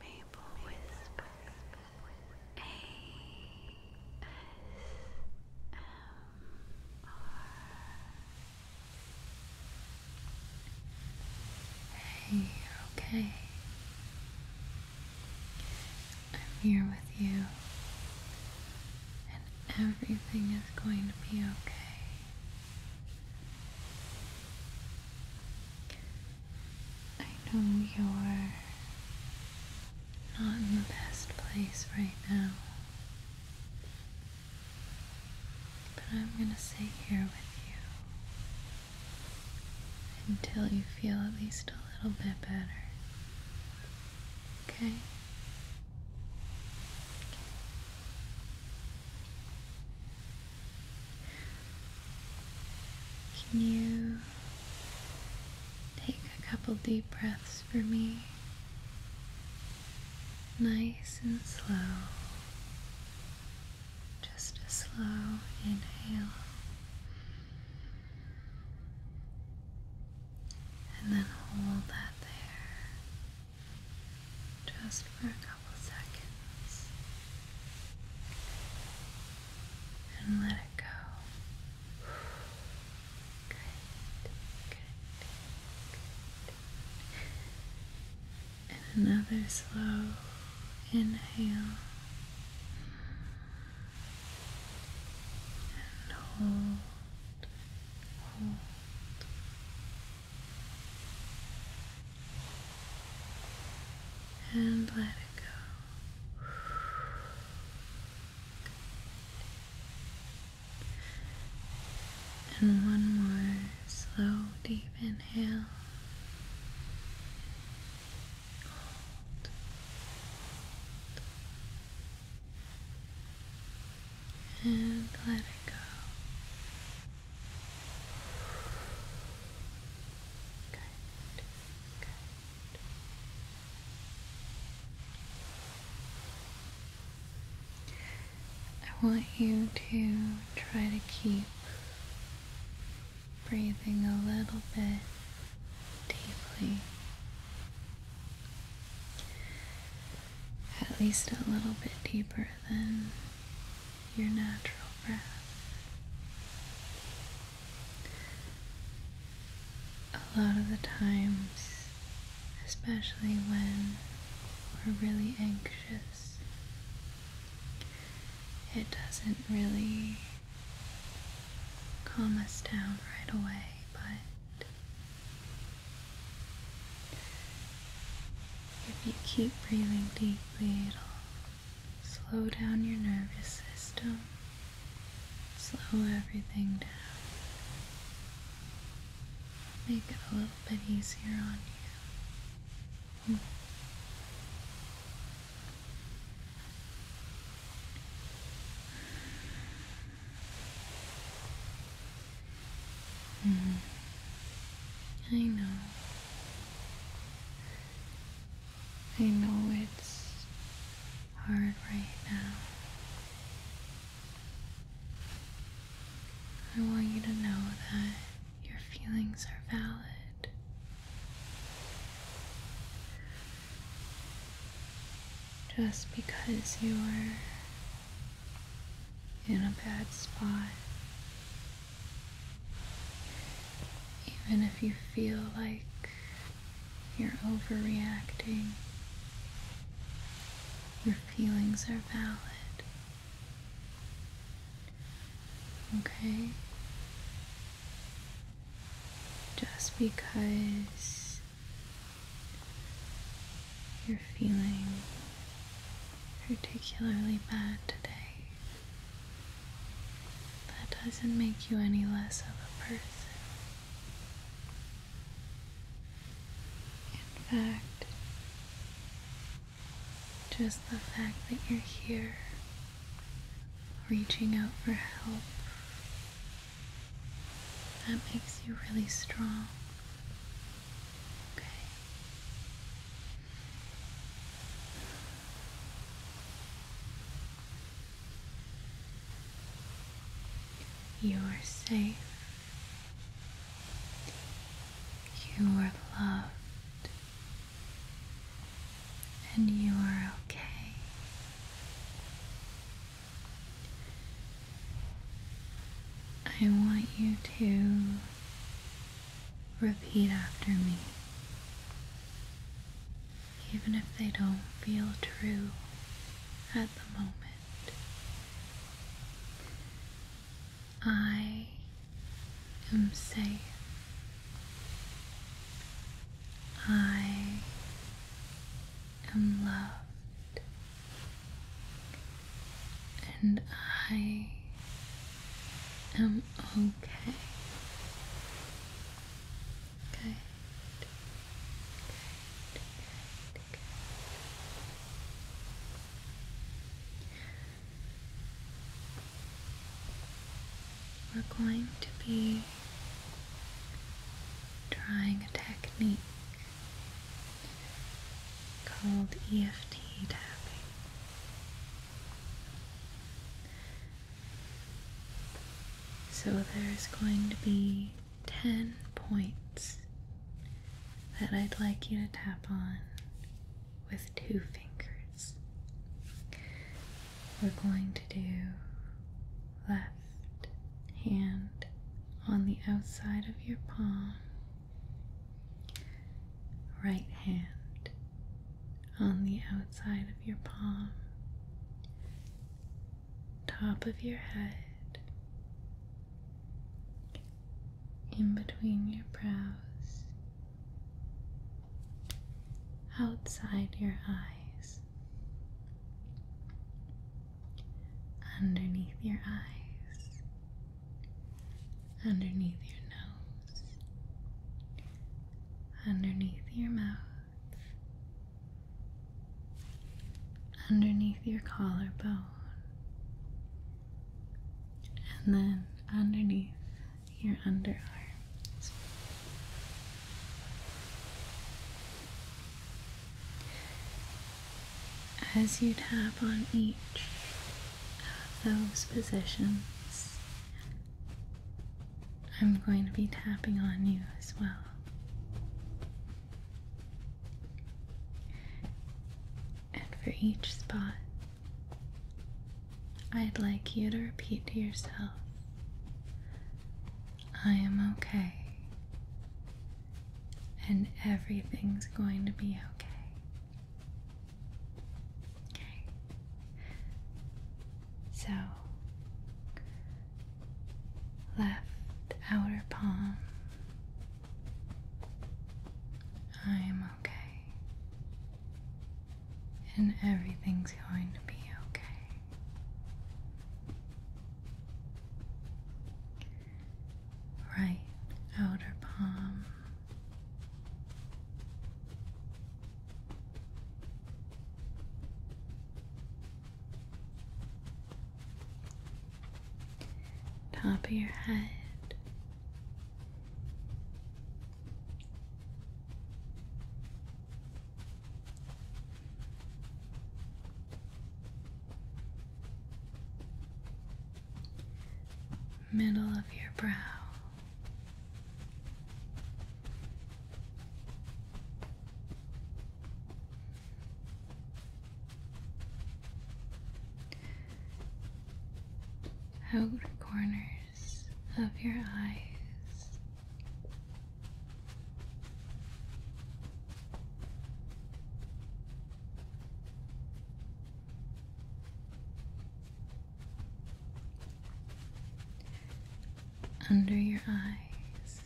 Maple Whisper A S M R Hey, okay. I'm here with you, and everything is going to be okay. I know you're not in the best place right now. But I'm gonna stay here with you until you feel at least a little bit better. Okay? Can you take a couple deep breaths for me? Nice and slow. Just a slow inhale. And then hold that there just for a seconds and let it go. good, good. And another slow inhale and hold, hold and let it go. And one more slow, deep inhale. Hold. And let it go. I want you to try to keep breathing a little bit deeply. At least a little bit deeper than your natural breath. A lot of the times, especially when we're really anxious, it doesn't really calm us down right away, but if you keep breathing deeply, it'll slow down your nervous system, slow everything down. Make it a little bit easier on you. Mm. I know. I know it's hard right now. I want you to know that your feelings are valid. Just because you are in a bad spot even if you feel like you're overreacting, your feelings are valid. Okay? Just because you're feeling particularly bad today that doesn't make you any less of a person. In fact, just the fact that you're here, reaching out for help, that makes you really strong. Okay. You are safe. You are loved. And you are okay. I want you to repeat after me even if they don't feel true at the moment. I am safe. I am loved. And I am okay. Okay. We're going to be trying a technique called EFT tapping. So there's going to be 10 points that I'd like you to tap on with two fingers. We're going to do left hand on the outside of your palm, right hand on the outside of your palm, top of your head, in between your brows, outside your eyes, underneath your eyes, underneath your nose. Underneath your mouth, underneath your collarbone, and then underneath your underarms. As you tap on each of those positions, I'm going to be tapping on you as well. And for each spot, I'd like you to repeat to yourself I am okay, and everything's going to be okay. Okay. So, left outer palm. I'm okay. And everything's going to be okay. Right outer palm top of your head. Middle of your brow, outer corners of your eyes under your eyes.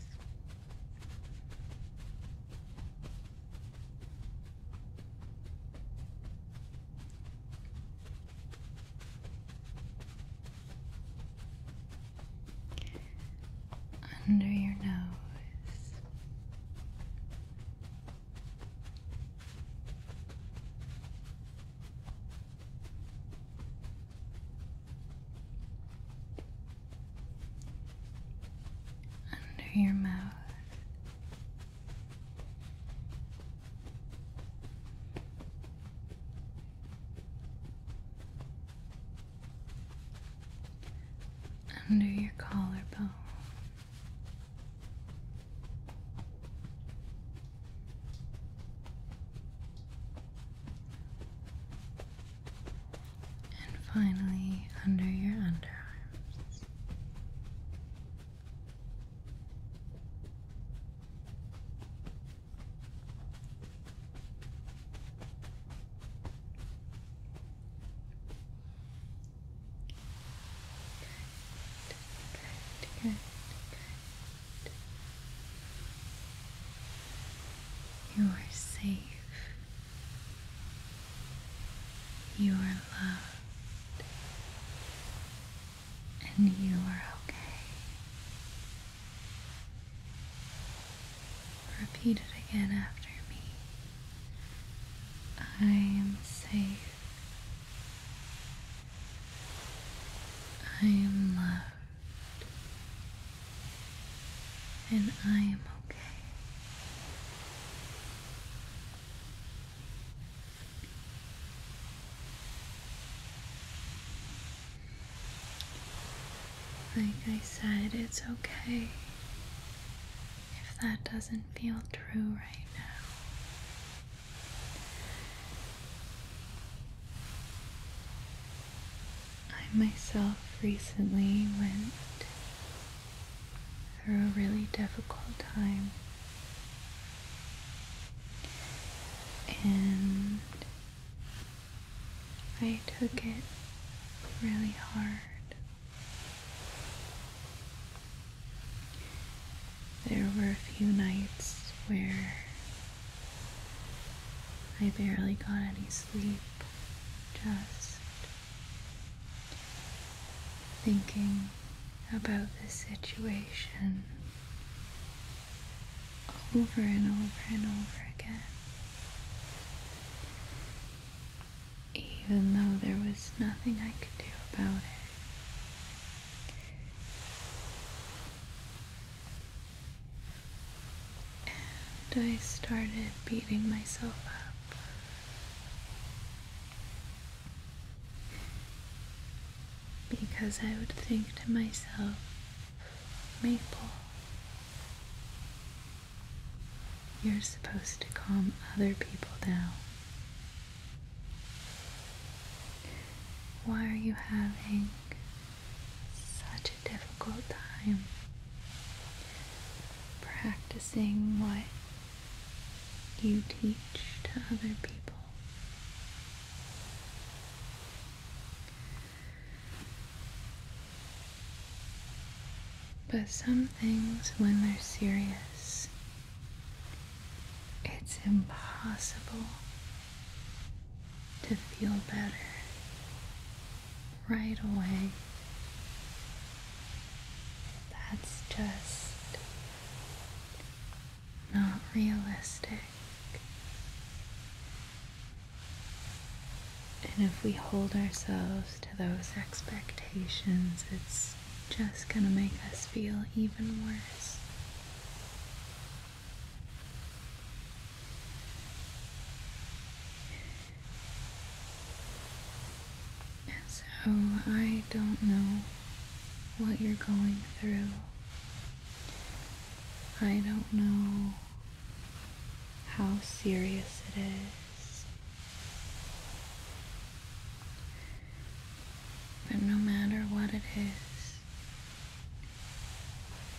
Under your nose, under your mouth. Under your collarbone, and finally, under your underarms. Good, good, good, good. You are safe. You are loved. And you are okay. Repeat it again after me. I am safe. I am loved and I am okay. Like I said, it's okay if that doesn't feel true right now. I myself recently went through a really difficult time. And I took it really hard. There were a few nights where I barely got any sleep, just thinking about this situation over and over and over again. Even though there was nothing I could do about it and I started beating myself up. Because I would think to myself, Maple, you're supposed to calm other people down. Why are you having such a difficult time practicing what you teach to other people. But some things, when they're serious, it's impossible to feel better right away. That's just not realistic. And if we hold ourselves to those expectations, it's just going to make us feel even worse so I don't know what you're going through. I don't know how serious it is. But no matter what it is,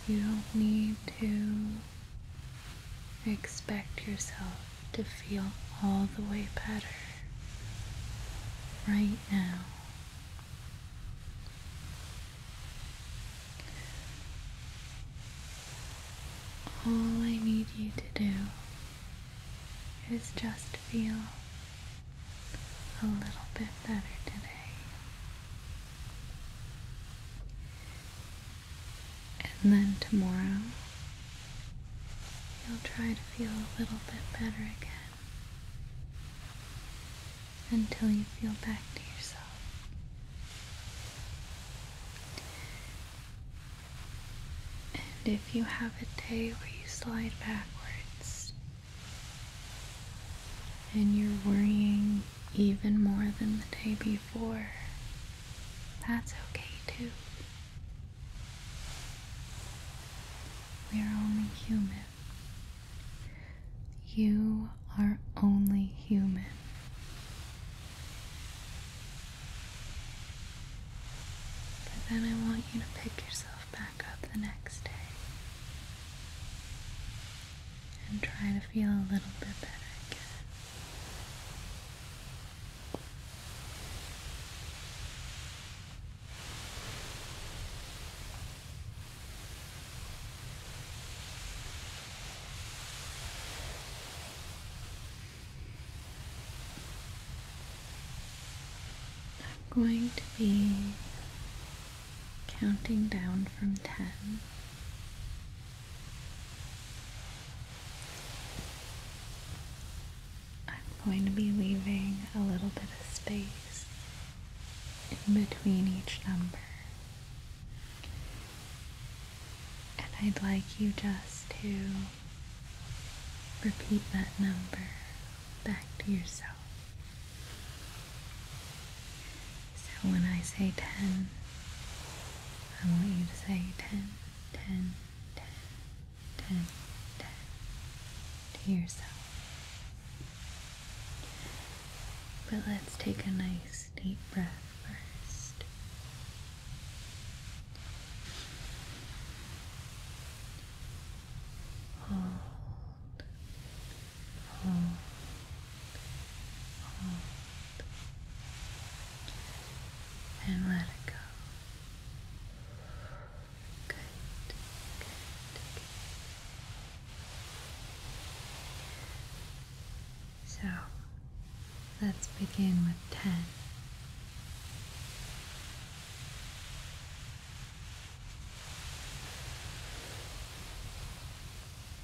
you don't need to expect yourself to feel all the way better right now. All I need you to do is just feel a little bit better today. And then tomorrow, you'll try to feel a little bit better again until you feel back to yourself. And if you have a day where you slide backwards, and you're worrying even more than the day before, that's okay too. We are only human. You are only human. But then I want you to pick yourself back up the next day and try to feel a little bit better again. I'm going to be counting down from 10. I'm going to be leaving a little bit of space in between each number. And I'd like you just to repeat that number back to yourself. So when I say 10, I want you to say 10, 10, 10, 10, 10 to yourself. But let's take a nice deep breath first. Hold hold, hold, and let it go. Good, good, So let's begin with 10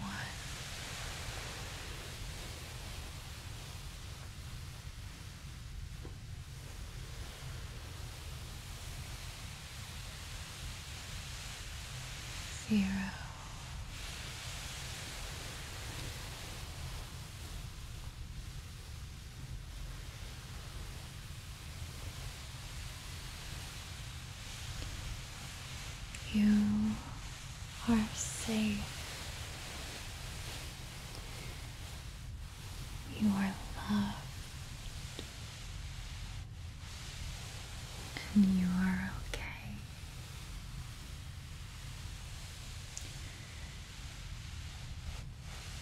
One. Zero. You are safe. You are loved. And you are okay.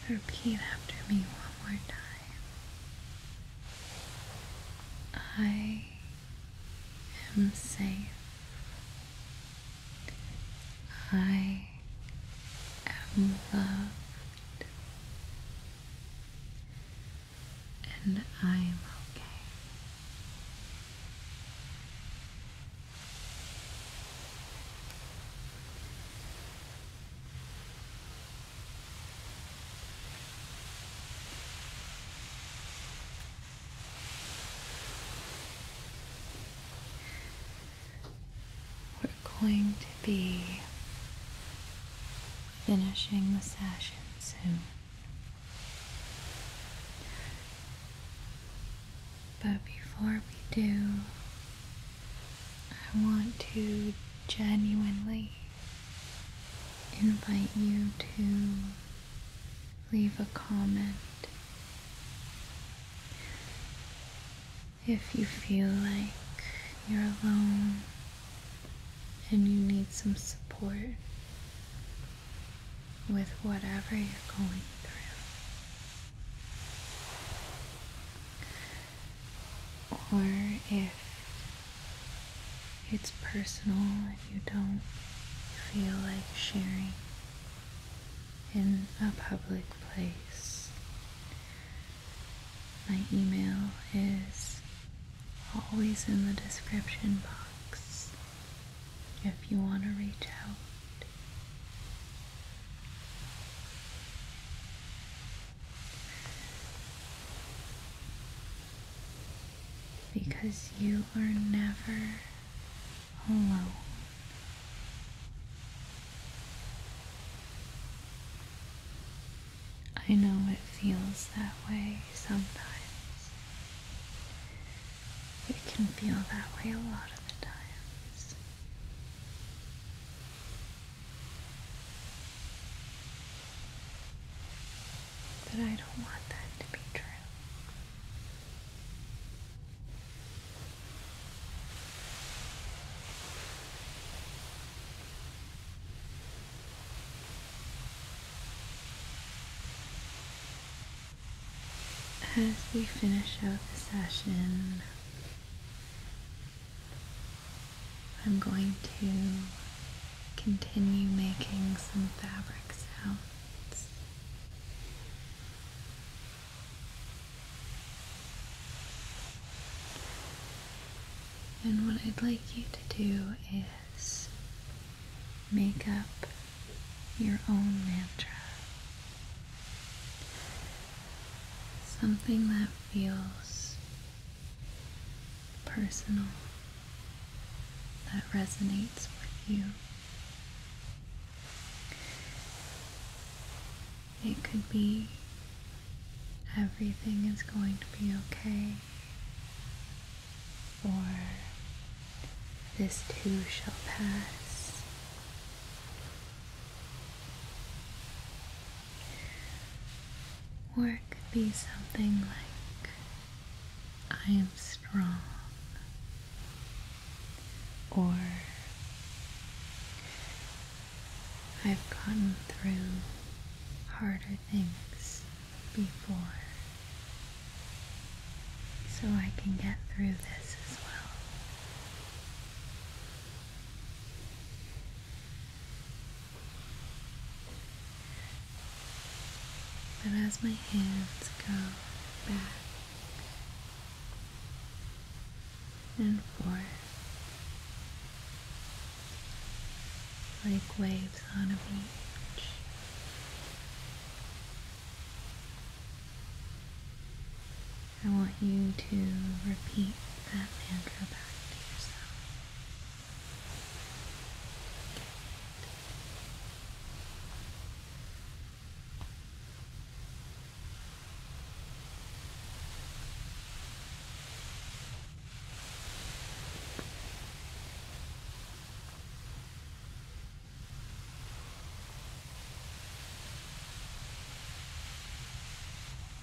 Repeat after me one more time. I am safe. I am loved. And I am okay. We're going to be finishing the session soon. But before we do, I want to genuinely invite you to leave a comment if you feel like you're alone and you need some support with whatever you're going through. Or if it's personal and you don't feel like sharing in a public place, my email is always in the description box if you want to reach out. Because you are never alone. I know it feels that way sometimes. It can feel that way a lot of the times. But I don't want that to be true. As we finish out the session, I'm going to continue making some fabric sounds. And what I'd like you to do is make up your own mantra something that feels personal, that resonates with you. It could be everything is going to be okay, or this too shall pass. Or it could be something like, I am strong. Or, I've gotten through harder things before. So I can get through this as well. But as my hands go back and forth like waves on a beach, I want you to repeat that mantra back to yourself.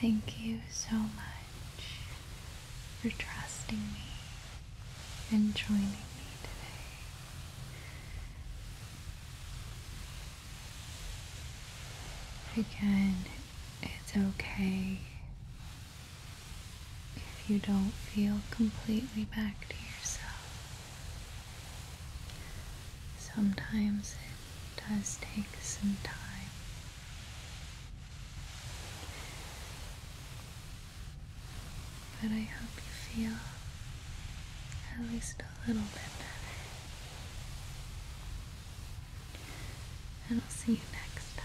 Thank you so much for trusting me and joining me today. Again, it's okay if you don't feel completely back to yourself. Sometimes it does take some time. But I hope you feel at least a little bit better. And I'll see you next time.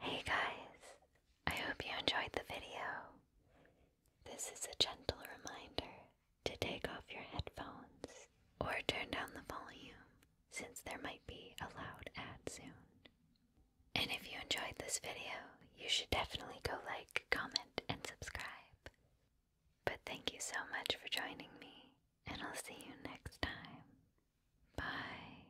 Hey guys, I hope you enjoyed the video. This is a gentle reminder to take off your headphones or turn down the volume since there might be a loud ad soon. And if you enjoyed this video, you should definitely go like, comment, and subscribe. But thank you so much for joining me, and I'll see you next time. Bye.